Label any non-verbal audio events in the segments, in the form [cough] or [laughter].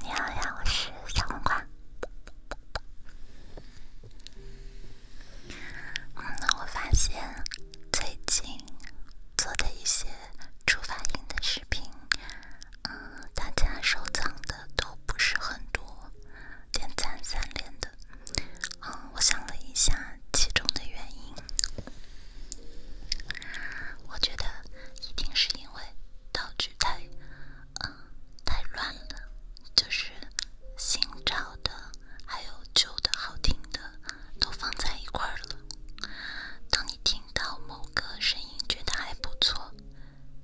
你好呀，我是小黄瓜。嗯，我发现最近做的一些初反应的视频，嗯，大家收藏的都不是很多，点赞三连的。嗯，我想了一下其中的原因。我觉得一定是因为道具太……嗯，太乱了，就是新找的还有旧的好听的都放在一块儿了。当你听到某个声音觉得还不错，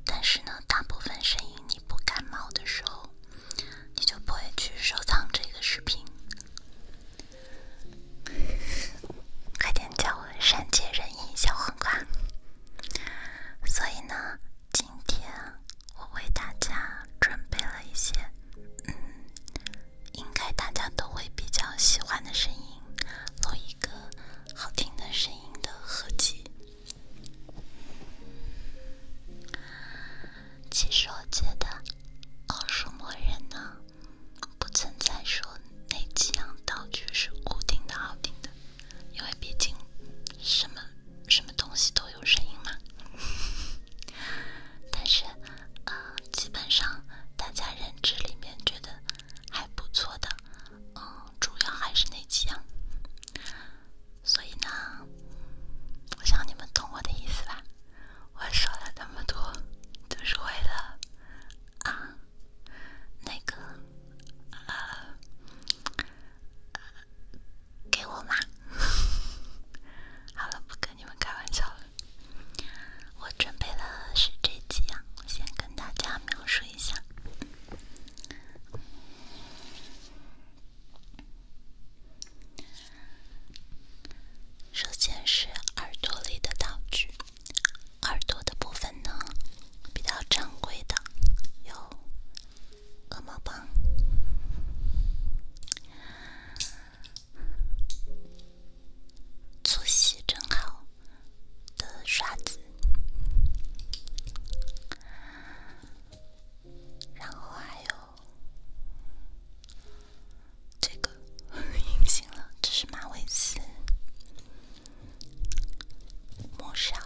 但是呢，大部分声音你不感冒的时候，你就不会去收藏这个视频。快点叫我善解人意小黄瓜！所以呢，今天我为大家准备了一些，嗯，应该大家都会比较喜欢的声音，录一个好听的声音的合集。其实我觉得奥数魔人呢。不存在说那几样道具是固定的、好听的，因为毕竟什么什么东西都有声音嘛。[laughs] 但是，呃，基本上大家认知里面觉得还不错的，嗯，主要还是那几样。所以呢，我想你们懂我的意思吧。我说了那么多，就是为了啊，那个啊，给我嘛！[laughs] 好了，不跟你们开玩笑了。我准备了是这几样，先跟大家描述一下。首先是耳朵里的道具，耳朵的部分呢，比较常规的有鹅毛棒、粗细正好，的刷子，然后还有。这个隐形 [laughs] 了，这是马尾丝、磨砂，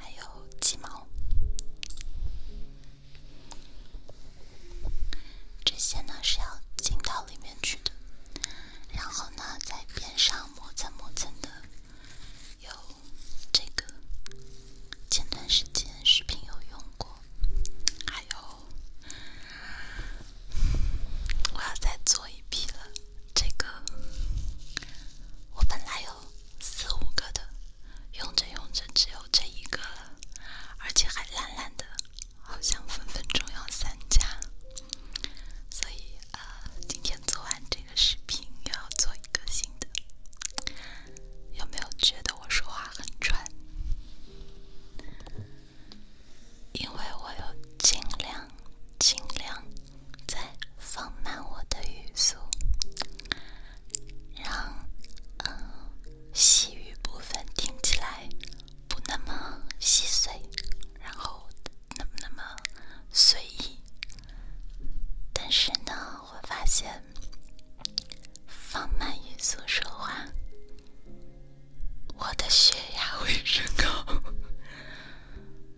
还有鸡毛。这些呢是要进到里面去的，然后呢在边上磨蹭磨蹭的。有这个前段时间视频有用过。还有，我要再做一批了。这个我本来有四五个的，用着用着只有这一个了，而且还烂烂的，好像分分钟要散架。所以，呃，今天做完这个视频，又要做一个新的。有没有觉得我说话很喘？因为我有尽量、尽量在放慢我的语速，让嗯细语部分听起来不那么细碎，然后那么那么随意。但是呢。我发现，放慢语速说话，我的血压会升高。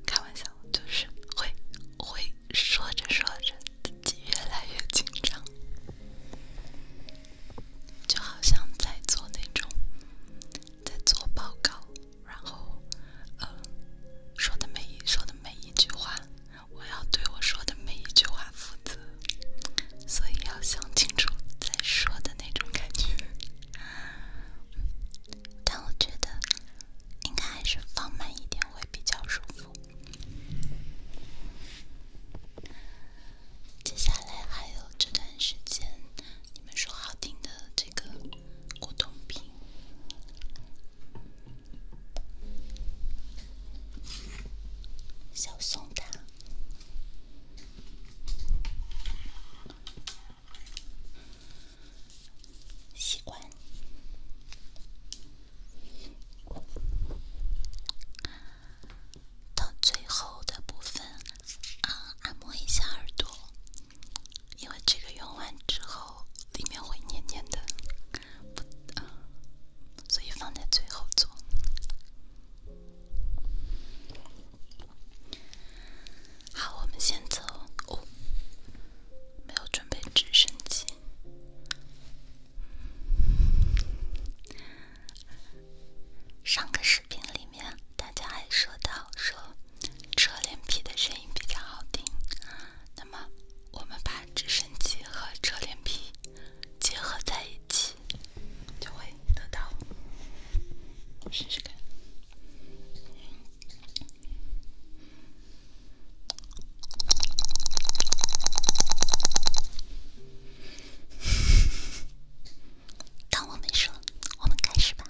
开玩笑，就是会会说着说着自己越来越紧张，就好像在做那种在做报告，然后呃说的每一说的每一句话。我要对我说的每一句话负责，所以要想清楚再说的那种感觉。但我觉得，应该还是放慢一点会比较舒服。接下来还有这段时间，你们说好听的这个果冻品。小松糖，习惯到最后的部分，嗯，按摩一下耳朵，因为这个用完之后里面会黏黏的。不，所以放在最后做。好，我们先走。哦，没有准备直升机。上个视频里面大家还说到说车脸皮的声音比较好听，那么。我们把直升机和车脸皮结合在一起，就会得到。试试看。当我没说，我们开始吧。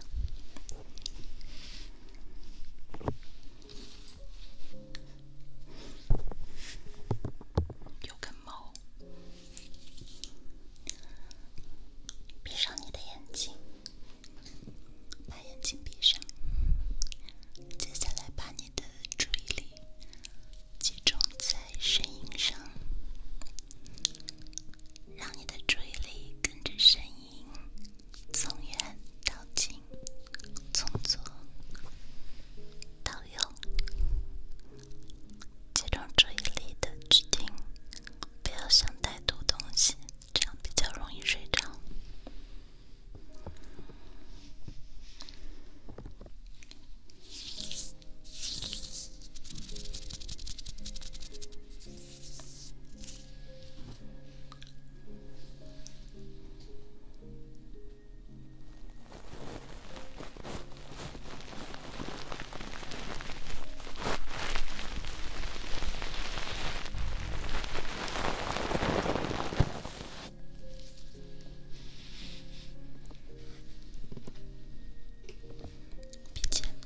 有根毛。闭上你的眼睛，把眼睛闭上。接下来，把你的注意力集中在声音上，让你的注意力跟着声音从远到近，从左。导游，集中注意力的去听，不要想太多东西，这样比较容易睡着。音量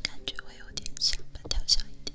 感觉会有点像把调小一点。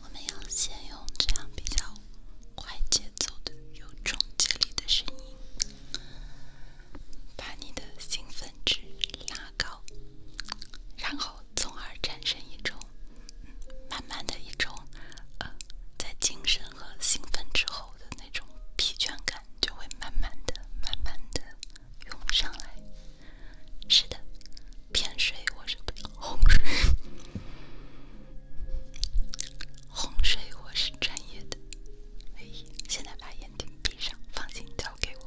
我们要先用这样比较快节奏的、有冲击力的声音，把你的兴奋值拉高，然后从而产生一种慢慢的一种呃，在精神和兴奋之后。的那种疲倦感就会慢慢的、慢慢的涌上来。是的，骗水我是懂，水哄水 [laughs] 我是专业的。哎，现在把眼睛闭上，放心交给我。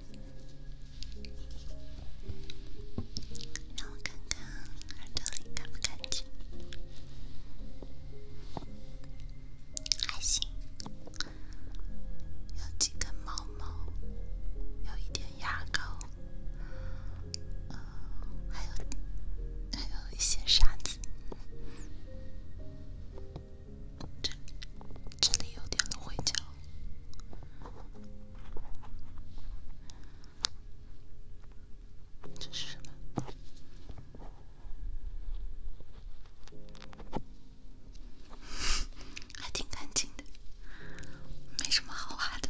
让我看看耳朵里可不可以，还行，有几根毛毛，有一点牙膏，还有还有一些沙子。这这里有点芦荟胶，这是什么？还挺干净的，没什么好画的。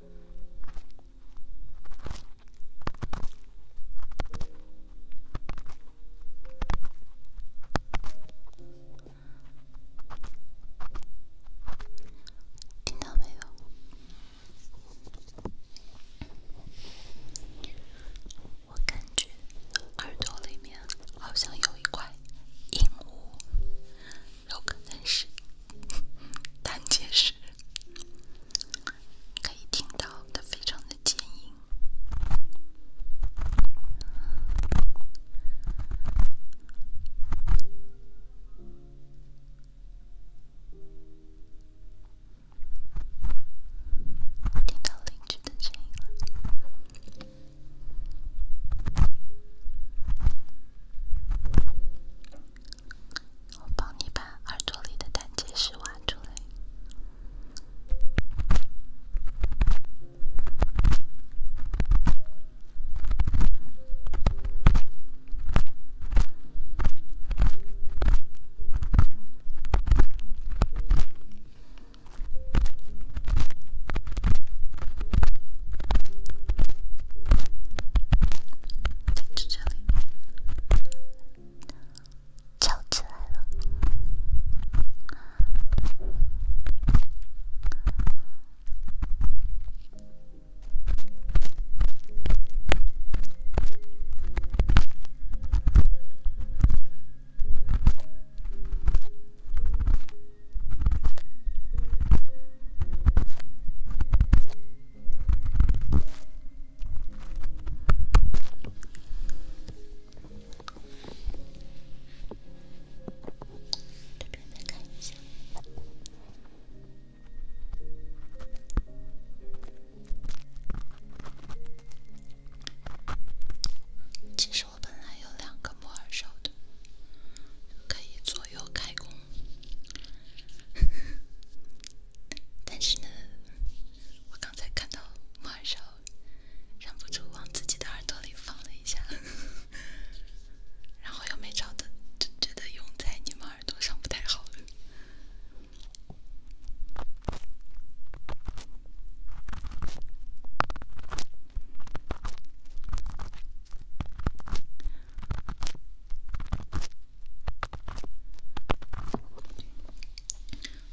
听到没有？我感觉耳朵里面好像有一块硬物，有可能是胆 [laughs] 结石。可以听到，它非常的坚硬。听到邻居的声音了。我帮你把耳朵里的胆结石挖出来。这里。叫起来了。这边再看一下。其实我本来有两个不二手的，可以左右开工。但是呢，我刚才看到猫耳勺，忍不住往自己的耳朵里放了一下，然后又没找到，就觉得用在你们耳朵上不太好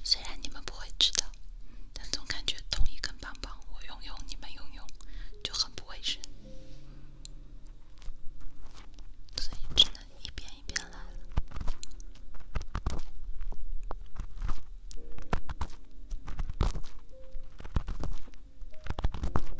虽然你们不会知道，但总感觉同一根棒棒我用用你们用用就很不卫生，所以只能一遍一遍来了。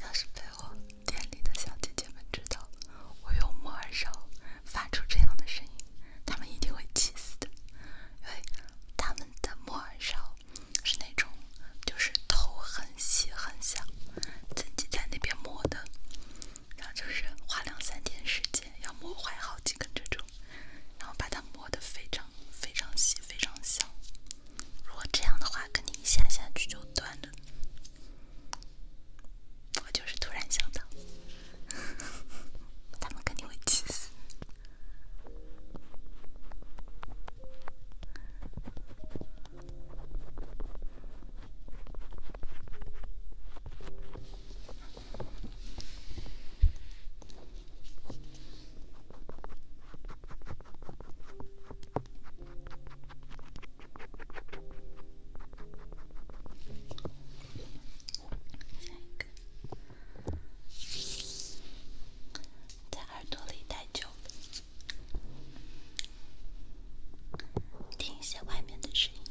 要是陪我。店里的小姐姐们知道我用磨耳勺发出这样的声音，她们一定会气死的，因为她们的磨耳勺是那种就是头很细很小，自己在那边磨的，然后就是花两三天时间要磨坏好几根这种，然后把它磨得非常非常细非常小。如果这样的话，肯定一下下去就断了。我就是突然想到，[laughs] 他们肯定会气死。在耳朵里待久了，听一些外面的声音。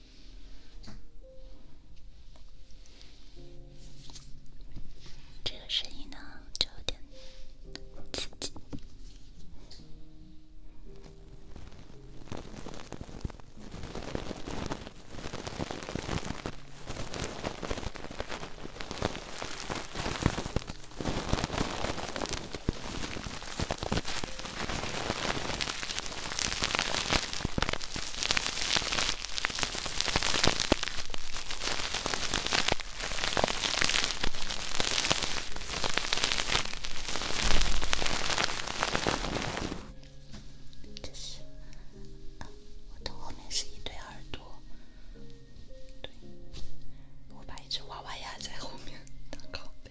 这个声音呢，就有点。这是，我的后面是一对耳朵，对，我把一只娃娃压在后面当靠背。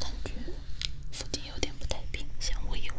感觉附近有点不太平，想问一问。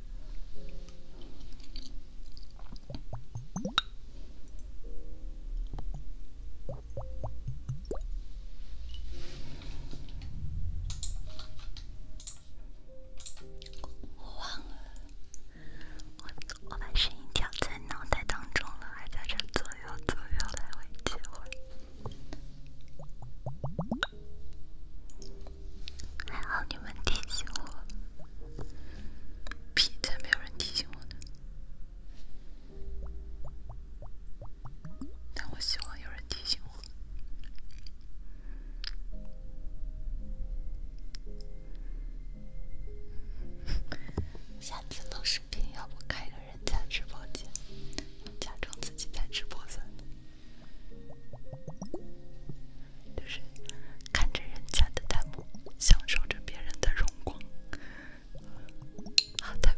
我忘了，我我把声音调在脑袋当中了，还在这左右左右来回切换。还好你们提醒我，屁才没有人提醒我呢。但我希望有人提醒我。[laughs] 下次录视频，要不开个人家直播间，假装自己在直播间。就是看着人家的弹幕，享受着别人的荣光，好特别。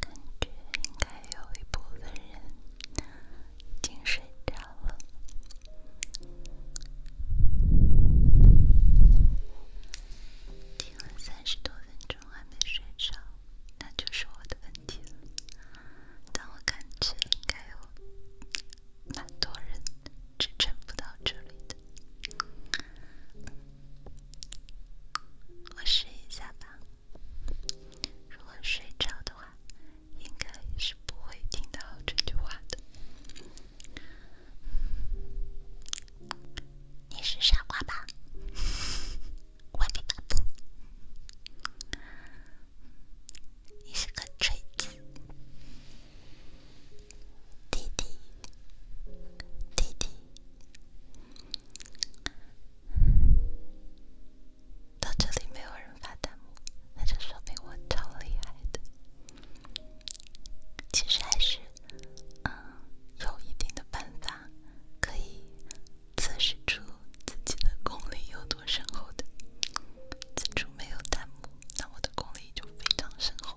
感觉应该有一部分人精神差了，听了三十多分钟还没睡着，那就是我的问题了。但我感觉应该有蛮多人支撑不到这里的，我试一下吧。如果睡着的话，应该是不会听到这句话的。你是傻瓜吧？外面发布，你是个锤子，弟弟，弟弟。到这里没有人发弹幕，那就说明我超厉害的。其实还是，嗯，有一定的办法可以测试出自己的功力有多深厚的。此处没有弹幕，那我的功力就非常深厚。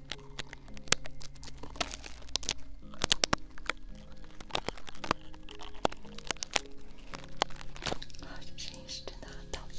啊，这声音是真的很讨厌。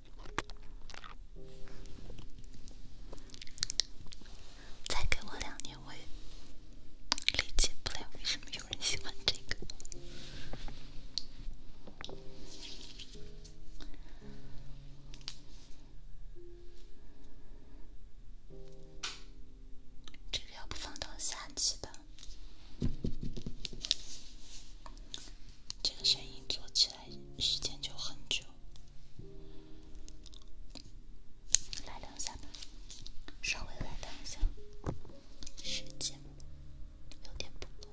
再给我两年，我也理解不来为什么有人喜欢这个。这个要不放到下期吧。这个声音做起来。来时间就很久，来两下吧，稍微来两下，时间有点不够。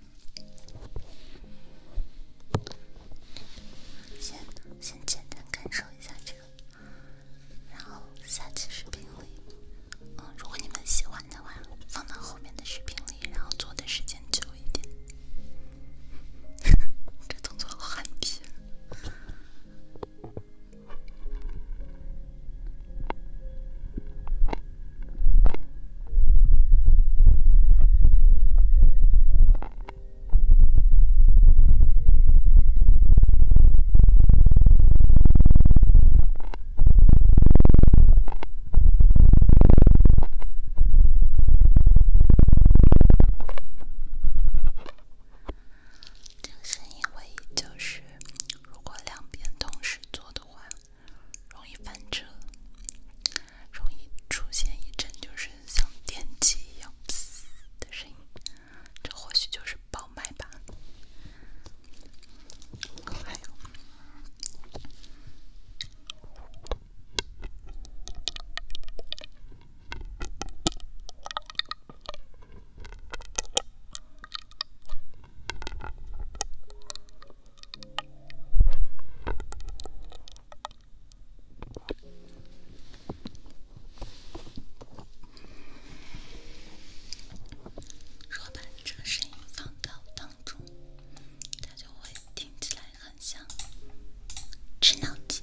先先简单感受一下这个，然后下期视频里，嗯，如果你们喜欢的话，放到后面的视频里，然后做的时间久一点。[laughs] 这动作好憨逼。[laughs] 这是因为，就是如果两边同时做的话。容易翻车，容易出现一阵就是像电机一样“呲”的声音，这或许就是爆麦吧。还有。若把这个声音放到当中，它就会听起来很像吃脑筋。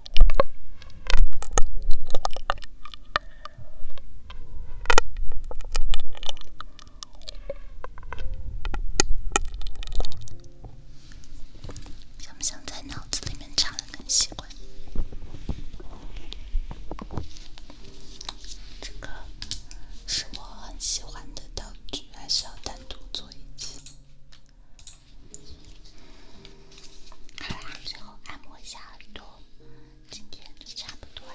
想不想在脑子里面插了根吸管？这个是我很喜欢的道具，还是要单独做一次？好啦，最后按摩一下耳朵，今天就差不多了。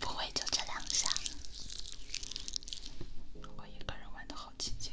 不会就这两下，我一个人玩的好寂静。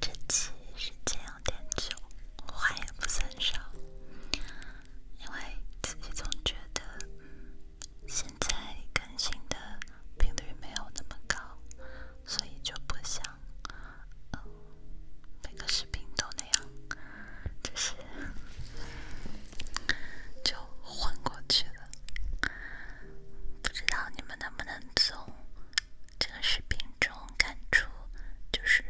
这期时间有点久，话也不算少，因为自己总觉得。现在更新的频率没有那么高，所以就不想每个视频都那样，就是就混过去了。不知道你们能不能从这个视频中看出，就是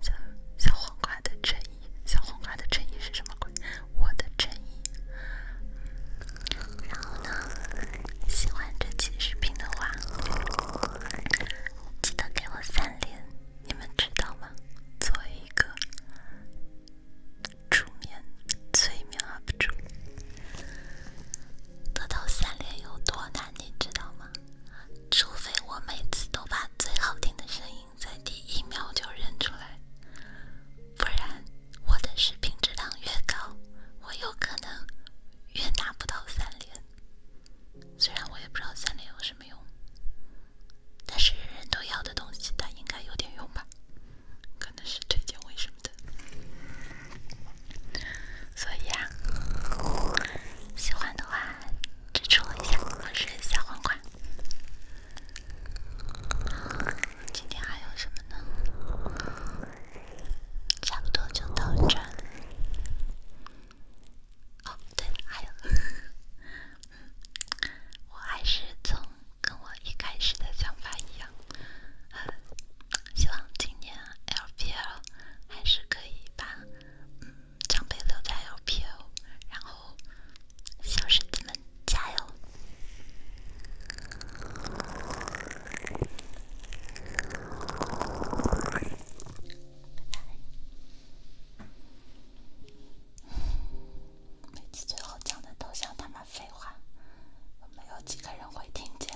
像小黄瓜的嘴。小黄瓜的衬衣是什么鬼？我的衬衣。然后呢，喜欢这期视频的话，记得给我三连，你们知道吗？做一个助眠催眠 UP 主，得到三连有多难，你知道吗？除非我每次都把最好听的声音。在第一秒就认出来，不然我的视频质量越高，我有可能越拿不到三连。虽然我也不知道三连有什么用，但是人人都要的东西，它应该有点用吧？可能是推荐为什么的。所以啊，喜欢的话支持我一下，我是小黄冠。今天还有什么呢？差不多就到这了。哦，对了，还有，[laughs] 我还是从跟我一开始的想法一样，希望今年 LPL 还是可以把张飞留在 LPL，然后。小狮子们加油！每次最后讲的都像他妈废话，没有几个人会听见。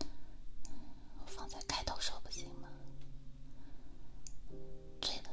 我放在开头说不行吗？醉了。